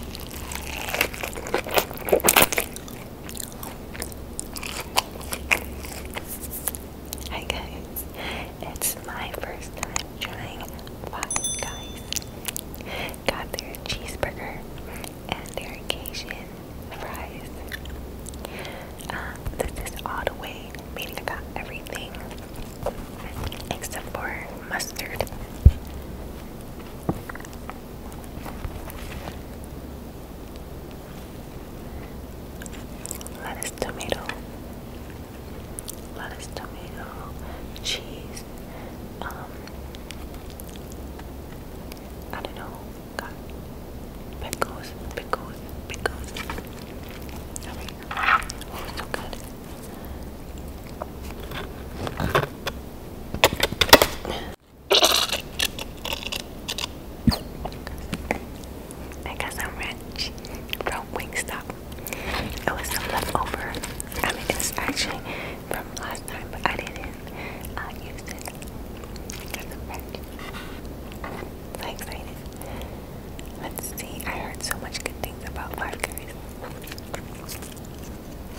Hi guys, it's my first time trying Five Guys. Got their cheeseburger and their Cajun fries. Um, this is all the way, meaning I got everything except for mustard lettuce, tomato, lettuce, tomato, cheese. Um, I don't know. pickles, pickles, pickles. oh, so good. I got some ranch from Wingstop. It was some leftover. I mean, it's actually from last time, but I didn't uh, use it. got some ranch. so excited. Let's see. I heard so much good things about Five Guys.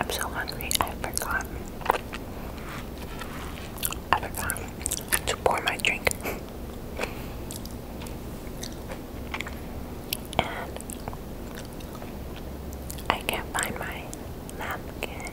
I'm so hungry, I forgot. I forgot to pour my drink. I can't find my napkin.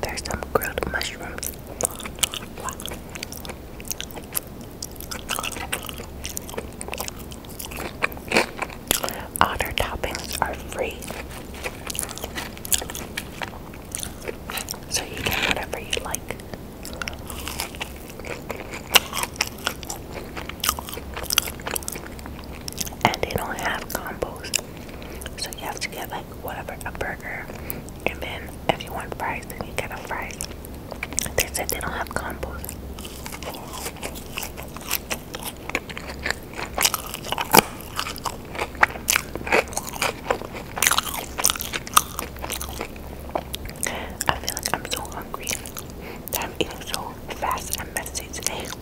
There's some grilled mushrooms. All their toppings are free. So you get whatever you like. And they don't have combos. So you have to get like whatever, a burger. And then if you want fries, then you get a fries. They said they don't have combos. I feel like I'm so hungry that I'm eating so fast and messy today.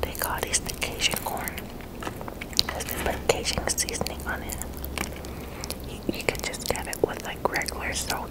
They call this the Cajun corn. Because they put Cajun seasoning on it. You, you can just get it with like regular salt.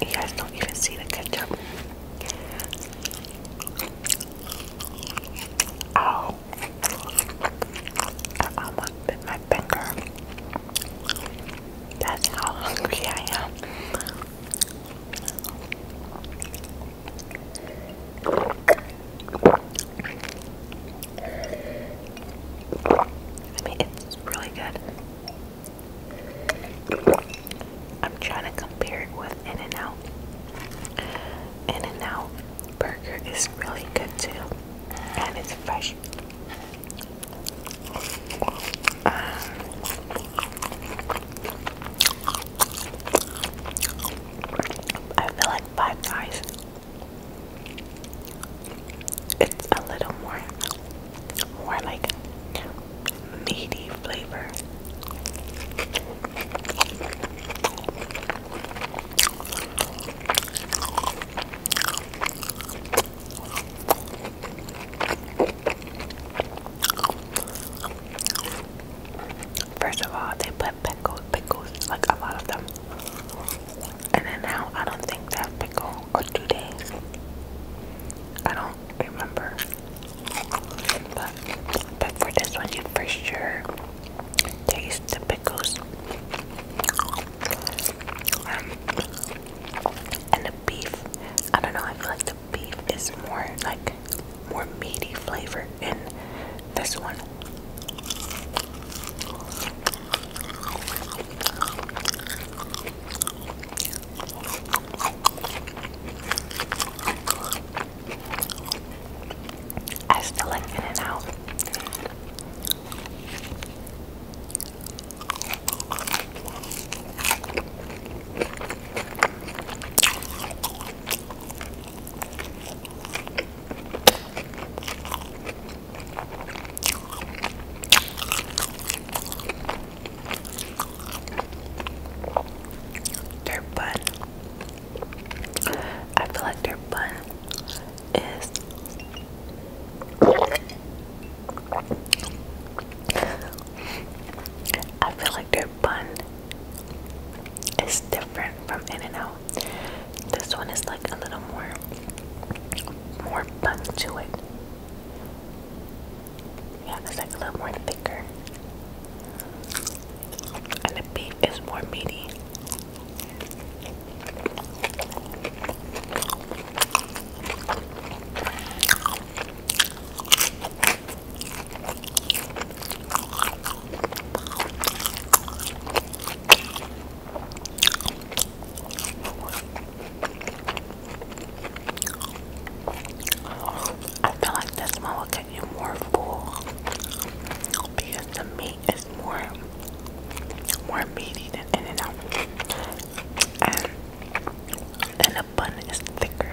You guys don't even see the ketchup. Ow! I almost bit my finger. That's how hungry I am. I mean, it's really good. I'm trying to compare it with In and Out. In and Out burger is really good too, and it's fresh. Um, I feel like Five Guys it's a little more, more like meaty flavor. First of all, they put pickles, pickles, like a lot of them. And then now I don't think that pickle or two days. I don't remember. But but for this one you for sure taste the pickles. Um, and the beef. I don't know, I feel like the beef is more like more meaty flavor in this one. I still like In and Out. Their bun. I feel like their bun is I feel like their bun is different from In N Out. This one is like a little more more bun to it. Yeah, it's like a little more thicker. And the beef is more meaty. I feel like this one will get you more full because the meat is more more meaty than in and out. And, and the bun is thicker.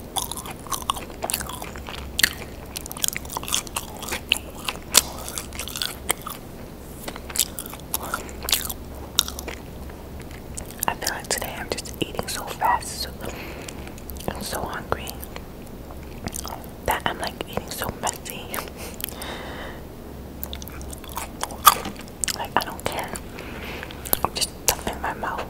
I feel like today I'm just eating so fast, I'm so hungry that I'm like eating so messy. like I don't care. I'm just in my mouth.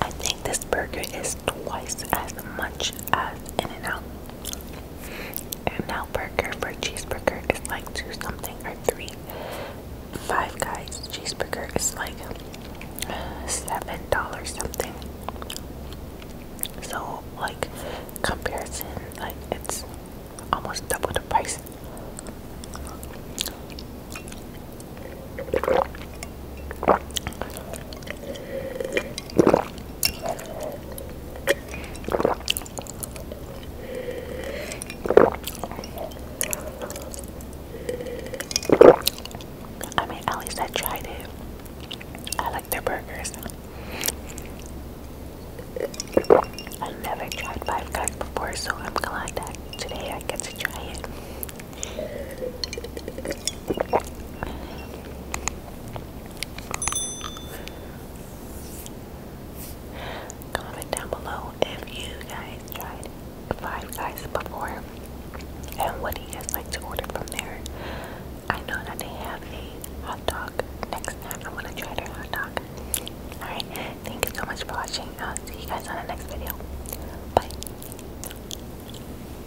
I think this burger is twice as much as In and Out. In and Out burger for cheeseburger is like two something or three. Five Guys cheeseburger is like seven dollars something. So like comparison, like it's almost double the price. I mean, at least I tried it. I like their burgers. I never tried Five Guys before, so I'm glad that today I get to try it. Comment down below if you guys tried Five Guys before and what do you guys like to order from there. I know that they have a hot dog next time. I'm gonna try their hot dog. Alright, thank you so much for watching. I'll see you guys on the next video. Bye.